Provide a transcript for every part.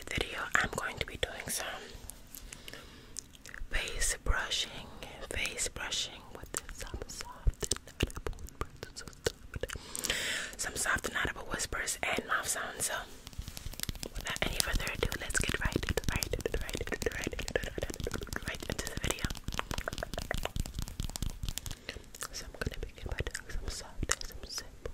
video, I'm going to be doing some face brushing, face brushing with some soft and some soft and audible whispers and mouth sounds. So, without any further ado, let's get right, into the video. So I'm gonna begin by some soft, some simple.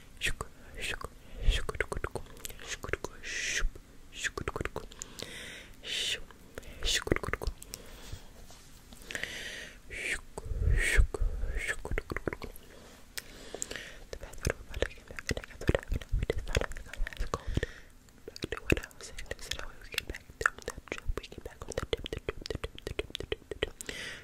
back, down that trip, we get back on the tip, the tip, the tip, the tip, the tip, the tip, the tip,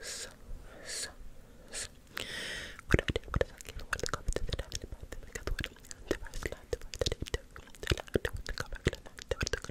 so, so, so. What do I do? What that give? What are the comments that I'm having about them? I got the word the first line, the that it took, the line, the word to come back, That line, that you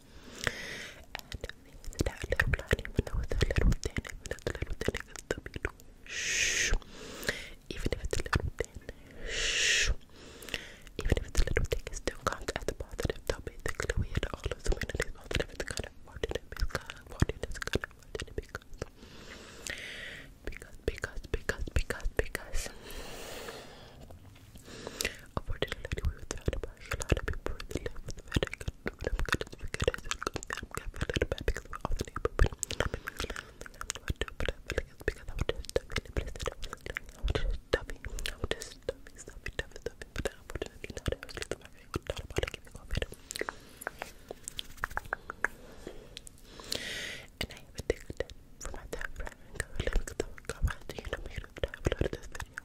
And that little blood, even though it's a little thin, even though it's a little thin, it's still beautiful. Shh. Even if it's a little thin, shh. Even if it's a little thick, it still counts as a positive. So basically, we had all of the amenities positive. It's kind of fortunate because, fortunate, it's kind of fortunate because, because, because, because, because. Unfortunately, we were surrounded by a lot of people in the live with the medic. I'm good as we could. I said, I'm kind of a little bit because we're all the neighborhood. I mean, I don't think I'm going to do it, but I feel like it's because I was just stuffy in a place that I wasn't doing. I was just stuffy. I was just stuffy, stuffy, stuffy, stuffy. But unfortunately, now that I was just stuffy, I would thought about it giving COVID. And I have a ticket for my time frame and go live because I was covered. You know, made of time. Look at this video.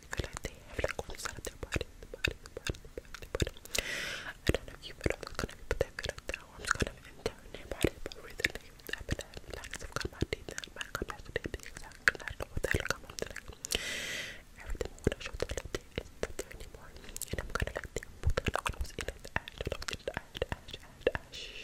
feel like they have like all this out of their body, the body, the body, the body, the body. I don't know if you, but I'm just gonna put that feel like that one's kind of entering their body, but recently I've been having like some kind of my teeth and my contacts with the exact I don't know what the hell I'm doing. Everything I wanna show to like this isn't up there anymore. And I'm gonna like think about that when I was in it, the ash, I don't get the ash, ash, ash, ash. Shh.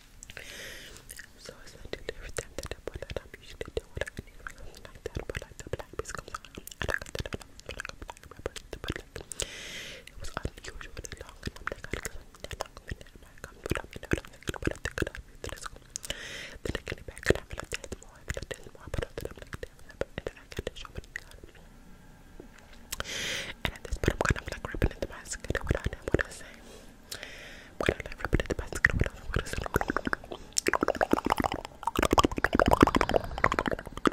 So it's not just every time that I put that up, you should do I need or like that. But like the black piece comes on, and I got that up like a black rapper. But like, it was unusually long, and I'm like, I got that long minute. I'm like, I'm put up, you know what I'm thinking, I think it up. Then I get it back, and I'm like, there's more, and there's more, but I'm like, damn, I got to show it. And at this point, I'm gonna like ripping at the basket. What I know, what I say. I'm gonna like ripping at the basket. What I know, what I say. i am going to like ripping at the basket what i know what i say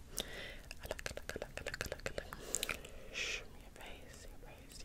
I like, your face, your face, your face.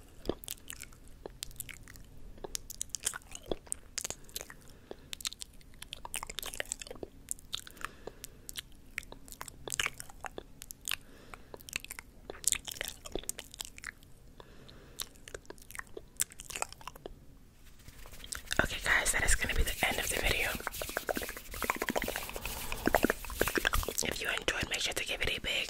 Okay, guys, that is going to be the end of the video. If you enjoyed, make sure to give it a big